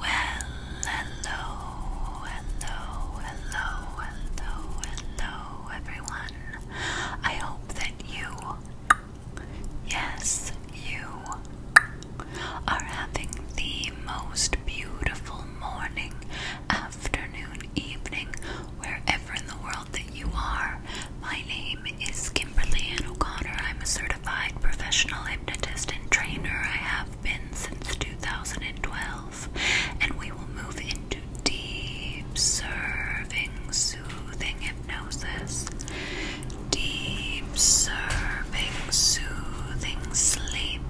Well, hello, hello, hello, hello, hello, everyone. I hope that you, yes, you, are having the most beautiful morning, afternoon, evening, wherever in the world that you are. My name is Kimberly Ann O'Connor. I'm a certified professional hypnotist and trainer. I have been since 2012, and we will move into deep serving, soothing hypnosis. Deep serving, soothing sleep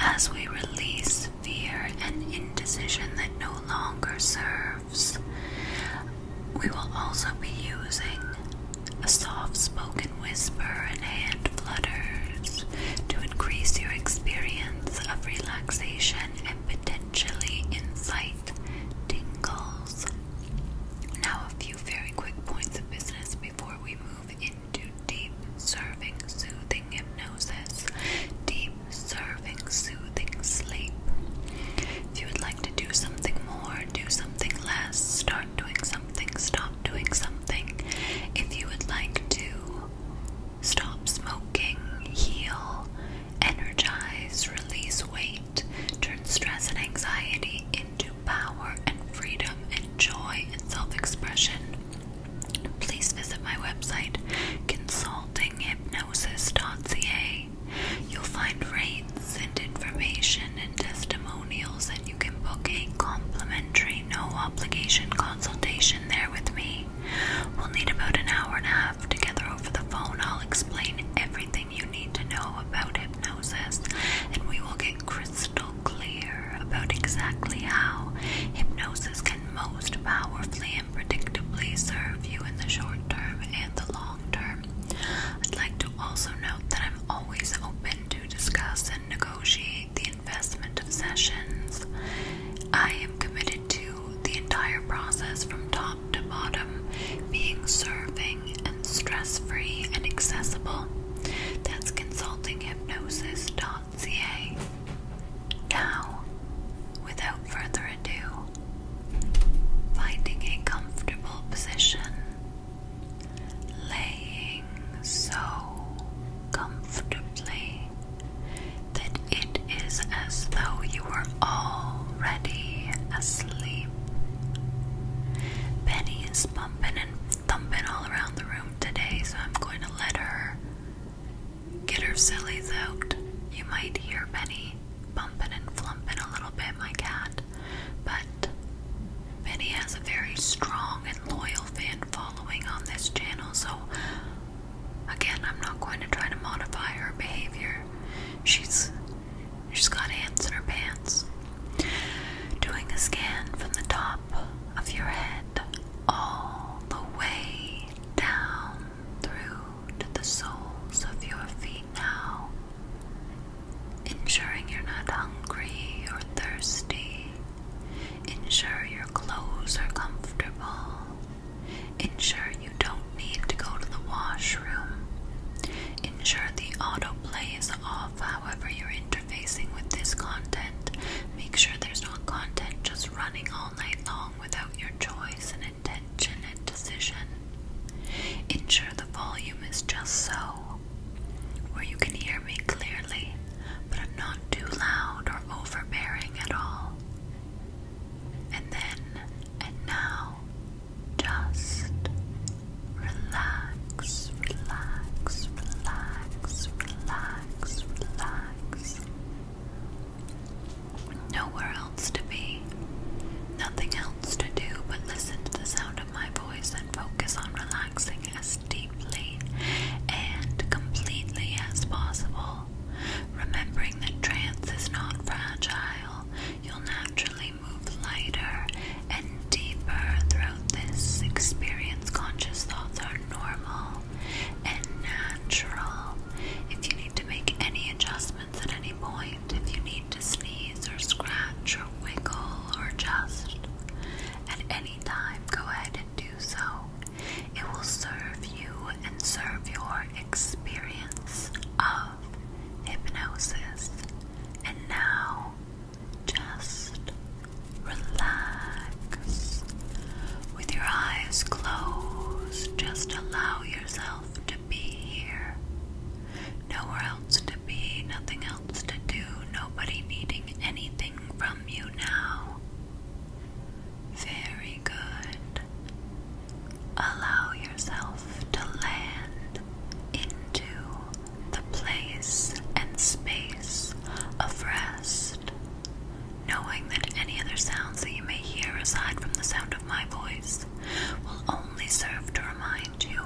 as we release fear and indecision that no longer serves. We will also be using a soft spoken whisper and hand flutters to increase your experience of relaxation and potentially incite tingles. Now, a few very quick points of business before we move into deep serving soothing hypnosis. Deep serving soothing sleep. If you would like to do something more, do something less, start doing something, stop doing something. If you would like to stop smoking, heal, energize, release weight, turn stress and anxiety into power and freedom and joy and self expression, please visit my website consultinghypnosis.ca. You'll find rates and information and testimonials, and you can book a complimentary, no obligation consultation there with me. We'll need about an hour and a half together over the phone. I'll explain everything you need to know about hypnosis, and we will get crystal clear about exactly how hypnosis can most powerfully and predictably serve you in the short term and the long term. I'd like to also note that I'm always open to discuss and negotiate the investment of sessions. I am committed to the entire process from top to bottom being serving and stress free and accessible. That's consulting CA. Now, without further ado, finding a comfortable position, laying so comfortably that it is as though you were already asleep. Penny is bumping and thumping all around the room today, so I'm going to let her Get her sillies out. You might hear Benny bumping and flumping a little bit, my cat, but Benny has a very strong and loyal fan following on this channel, so again, I'm not going to try to modify her behavior. She's she's got ants in her pants. Doing a scan from the top of your head all the way down through to the soles of your feet now, ensuring you're not hungry or thirsty. Ensure your clothes are comfortable. Ensure you don't need to go to the washroom. Ensure the autoplay is off however you're interfacing with this content. Make sure there's not content just running all night long without your choice and intention and decision. Ensure the volume is just so, where you can hear me clearly, but I'm not too loud or overbearing at all. And then and now, just relax, relax, relax, relax, relax. Nowhere else to be, nothing else to do but listen to the sound of my voice and focus on relaxing as deeply and completely as possible. Remembering that trance is not fragile, you'll naturally move lighter and deeper throughout this experience. Conscious thoughts are normal and natural. If you need to make any adjustments at any point, if you need to sneeze or scratch or wiggle or just at any time, go ahead and do so. It will serve you and serve your experience of hypnosis. And now, just relax. With your eyes closed, just allow yourself to be here. Nowhere else to be, nothing else to do, nobody needing anything from you now. Very good. Allow yourself to land into the place and space of rest knowing that any other sounds that you may hear aside from the sound of my voice will only serve to remind you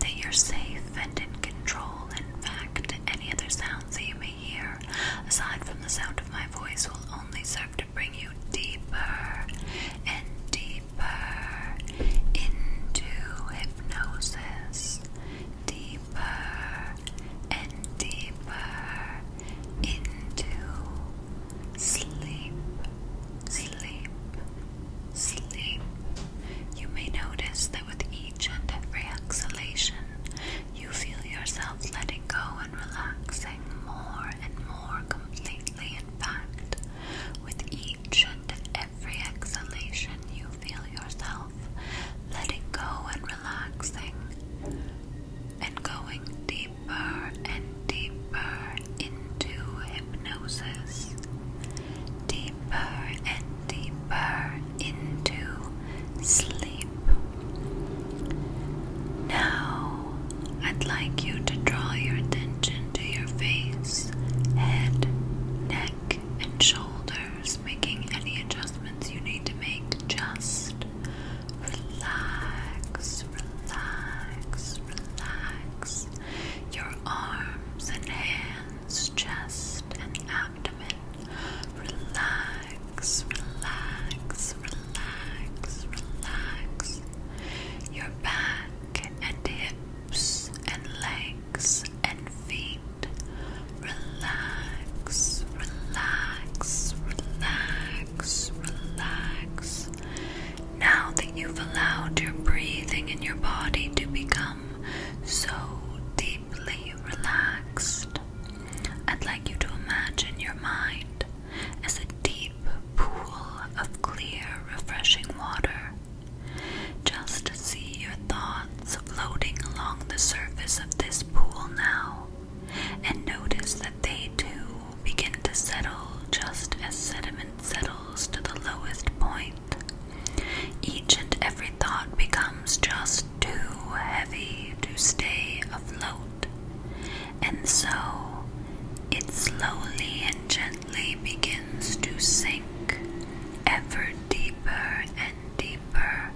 that you're safe and in control. In fact, any other sounds that you may hear aside from the sound of my voice will only serve to bring you deeper and deeper into hypnosis. Deeper and deeper into sleep, sleep, sleep. You may notice that with each and every exhalation, you feel yourself letting go and relaxing more and more completely. In fact, with each and every exhalation, you feel yourself letting go and relaxing and going deeper and deeper into hypnosis, deeper and deeper into sleep. Now, I'd like you to draw your attention to your face, head, neck, and shoulders, making any adjustments you need to make just Relax, relax, relax your arms and hands, chest and abdomen. Relax, relax, relax, relax your back and hips and legs and feet. Relax, relax, relax, relax, Now that you've allowed your breathing and your body to become so deeply relaxed, I'd like you to imagine your mind as a deep pool of clear, refreshing water. Just see your thoughts floating along the surface of this pool now, and notice that they too begin to settle just as sediment settles to the lowest point. Each and every thought becomes just too heavy to stay afloat, and so it slowly and gently begins to sink ever deeper and deeper,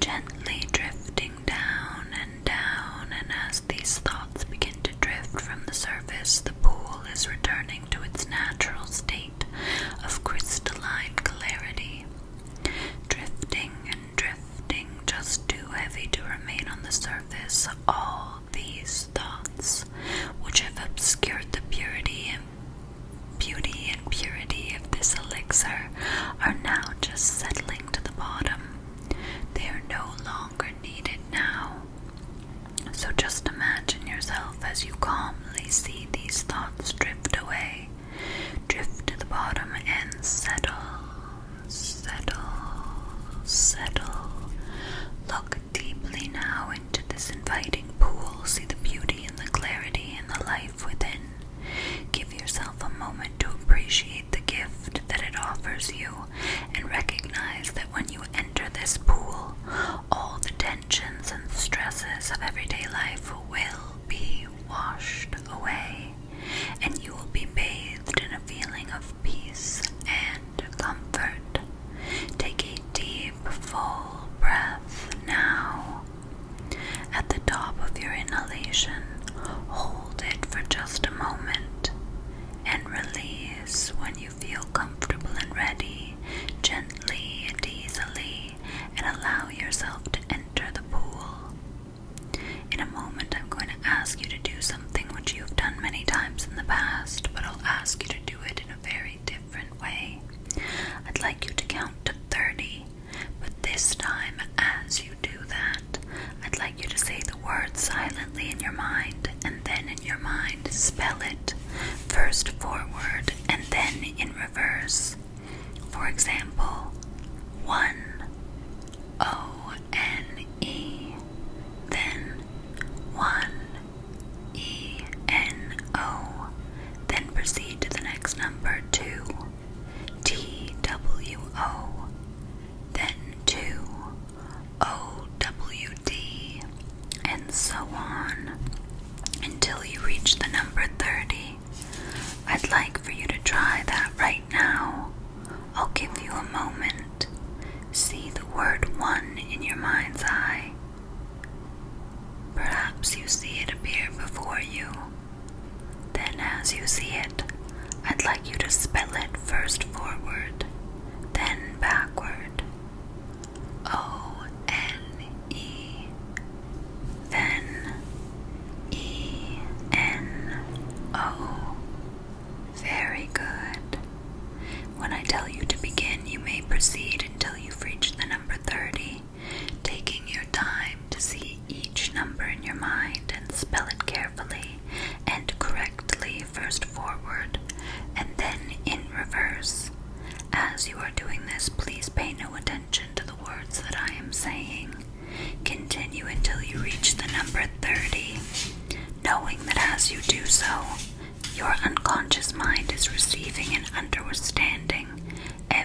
gently drifting down and down, and as these thoughts begin to drift from the surface, the pool is returning to its natural state of crystalline clarity. Drifting and drifting, just too heavy to remain on the surface, all these thoughts, which have obscured the purity and beauty and purity of this elixir, are now just settling to the bottom. They are no longer needed now. So just imagine yourself as you calmly see these thoughts drift away, drift to the bottom and settle, settle, settle. Look deeply now into this inviting pool, see the beauty and the clarity and the life within. Give yourself a moment to appreciate the gift that it offers you and recognize that when you enter this pool, all the tensions and stresses of everyday life will be washed away and you will be bathed in a feeling of peace and comfort. Take a deep, full breath now at the top of your inhalation, hold it for just a moment and release when you feel comfortable and ready, gently and easily, and allow yourself to enter the pool. In a moment, I'm going to ask you to do something which you've done many times in the past, but I'll ask you to do it in a very different way. I'd like you to count to 30 but this time, as you do that, I'd like you to say the word silently in your mind, and then in your mind, spell it first forward and then in reverse. For example, one, O N E, then one, E N O, then proceed to the next number, two, T W O, then two O W D, and so on until you reach the number 30. I'd like for you to try that right now. I'll give you a moment. See the word one in your mind's eye. Perhaps you see it appear before you. Then, as you see it, I'd like you to spell it first forward, then backward. O N E. Then E N O. Very good. When I tell you to begin, you may proceed until you've the number 30, taking your time to see each number in your mind and spell it carefully and correctly first forward and then in reverse. As you are doing this, please pay no attention to the words that I am saying. Continue until you reach the number 30, knowing that as you do so, your unconscious mind is receiving and understanding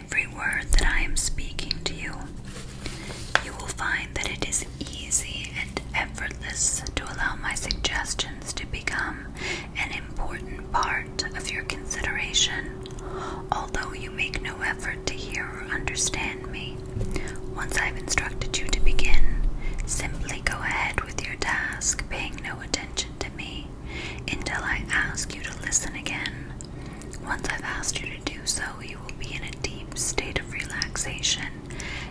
every word that I am speaking to you, you will find that it is easy and effortless to allow my suggestions to become an important part of your consideration, although you make no effort to hear or understand me. Once I've instructed you to begin, simply go ahead with your task, paying no attention to me until I ask you to listen again. Once I've asked you to do so, you will be in a deep state of relaxation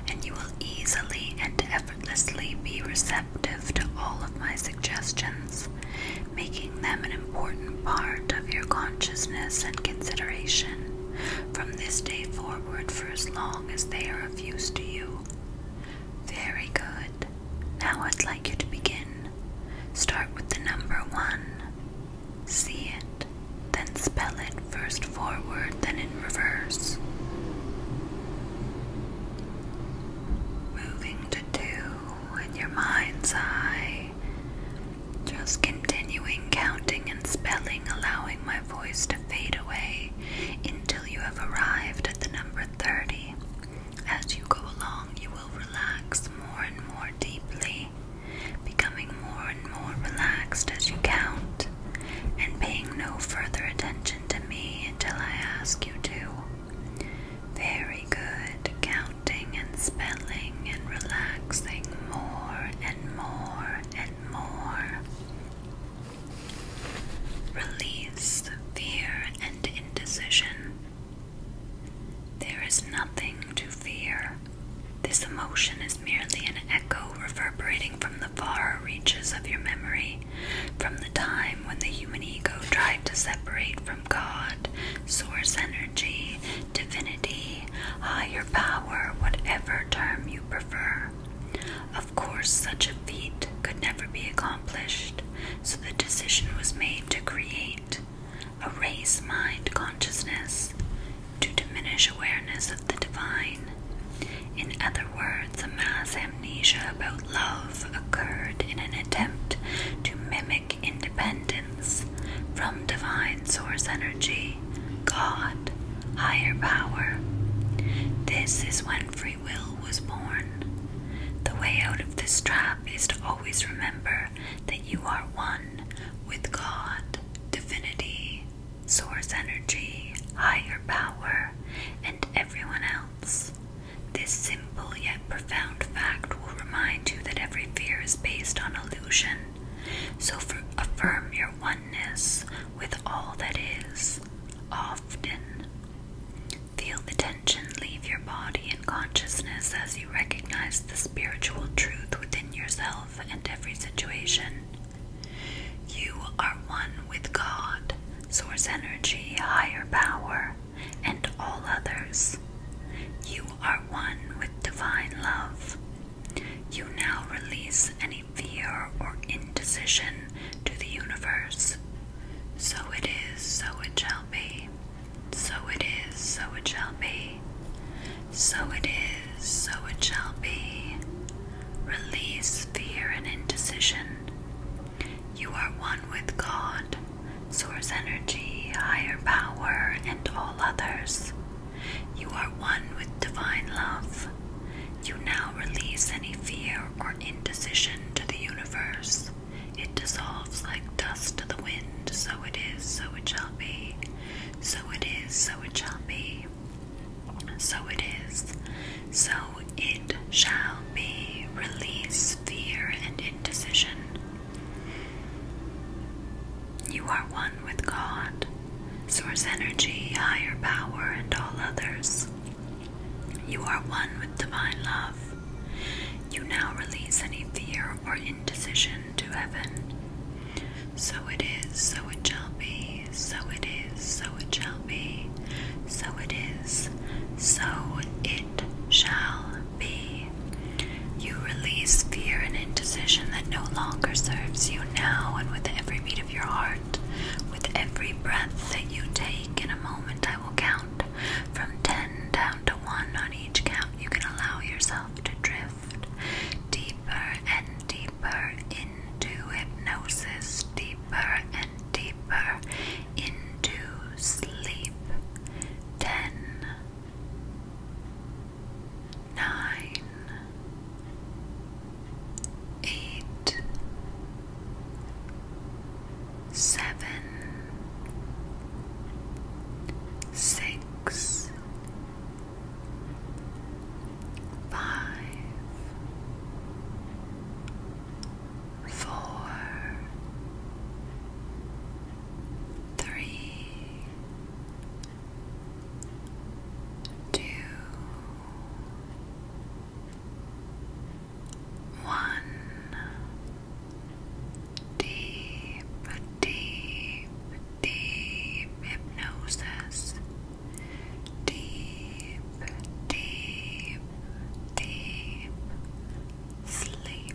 and you will easily and effortlessly be receptive to all of my suggestions, making them an important part of your consciousness and consideration from this day forward for as long as they are of use to you. Very good. Now I'd like you to begin. Start with the number one. See it, then spell it first forward, then in reverse. Moving to two in your mind's eye. Just continuing counting and spelling, allowing my voice to fade away until you have arrived at the number 30. As you go along, you will relax more and more deeply becoming more and more relaxed as you count, and paying no further attention to me until I ask you to. Very good, counting and spelling and relaxing more and more and more. Release fear and indecision. There is nothing to fear. This emotion is merely an echo reverberating from the far reaches of your memory, from the time when the human ego tried to separate from God, source energy, divinity, higher power, whatever term you prefer. Of course, such a feat could never be accomplished, so the decision was made to create erase mind consciousness, to diminish awareness of the divine. In other words, a mass amnesia about love occurred in an attempt to mimic independence from divine source energy, God, higher power. This is when free will was born. The way out of this trap is to always remember that you are one with God, divinity, source energy, higher power, and everyone else. This simple yet profound fact will remind you that every fear is based on illusion. So affirm your oneness with all that is, often. Feel the tension leave your body and consciousness as you recognize the spiritual truth within yourself and every situation. You are one with God, Source Energy, Higher Power, and all others. You are one with Divine Love. You now release any fear or indecision to the universe. So it is, so it shall be. So it is, so it shall be. So it is, so it shall be. Release fear and indecision. You are one with God, source energy, higher power, and all others. You are one with divine love. You now release any fear or indecision to the universe. It dissolves like dust to the wind, so it is, so it shall be. So it is, so it shall be. So it is, so it shall be. Release fear and indecision. You are one with God, Source Energy, Higher Power, and all others. You are one with Divine Love. You now release any fear or indecision to heaven. So it is, so it shall be, so it is, so it shall be, so it is, so it shall be. You release fear and indecision that no longer serves you now, and with every beat of your heart, with every breath that you take in a moment, I will count from ten down to one on each count. You can allow yourself to drift deeper and deeper into hypnosis, deeper and deeper into sleep. Ten, nine, eight, seven, six six, five, four, three, two, one. Deep deep, deep hypnosis. Deep, deep, deep sleep.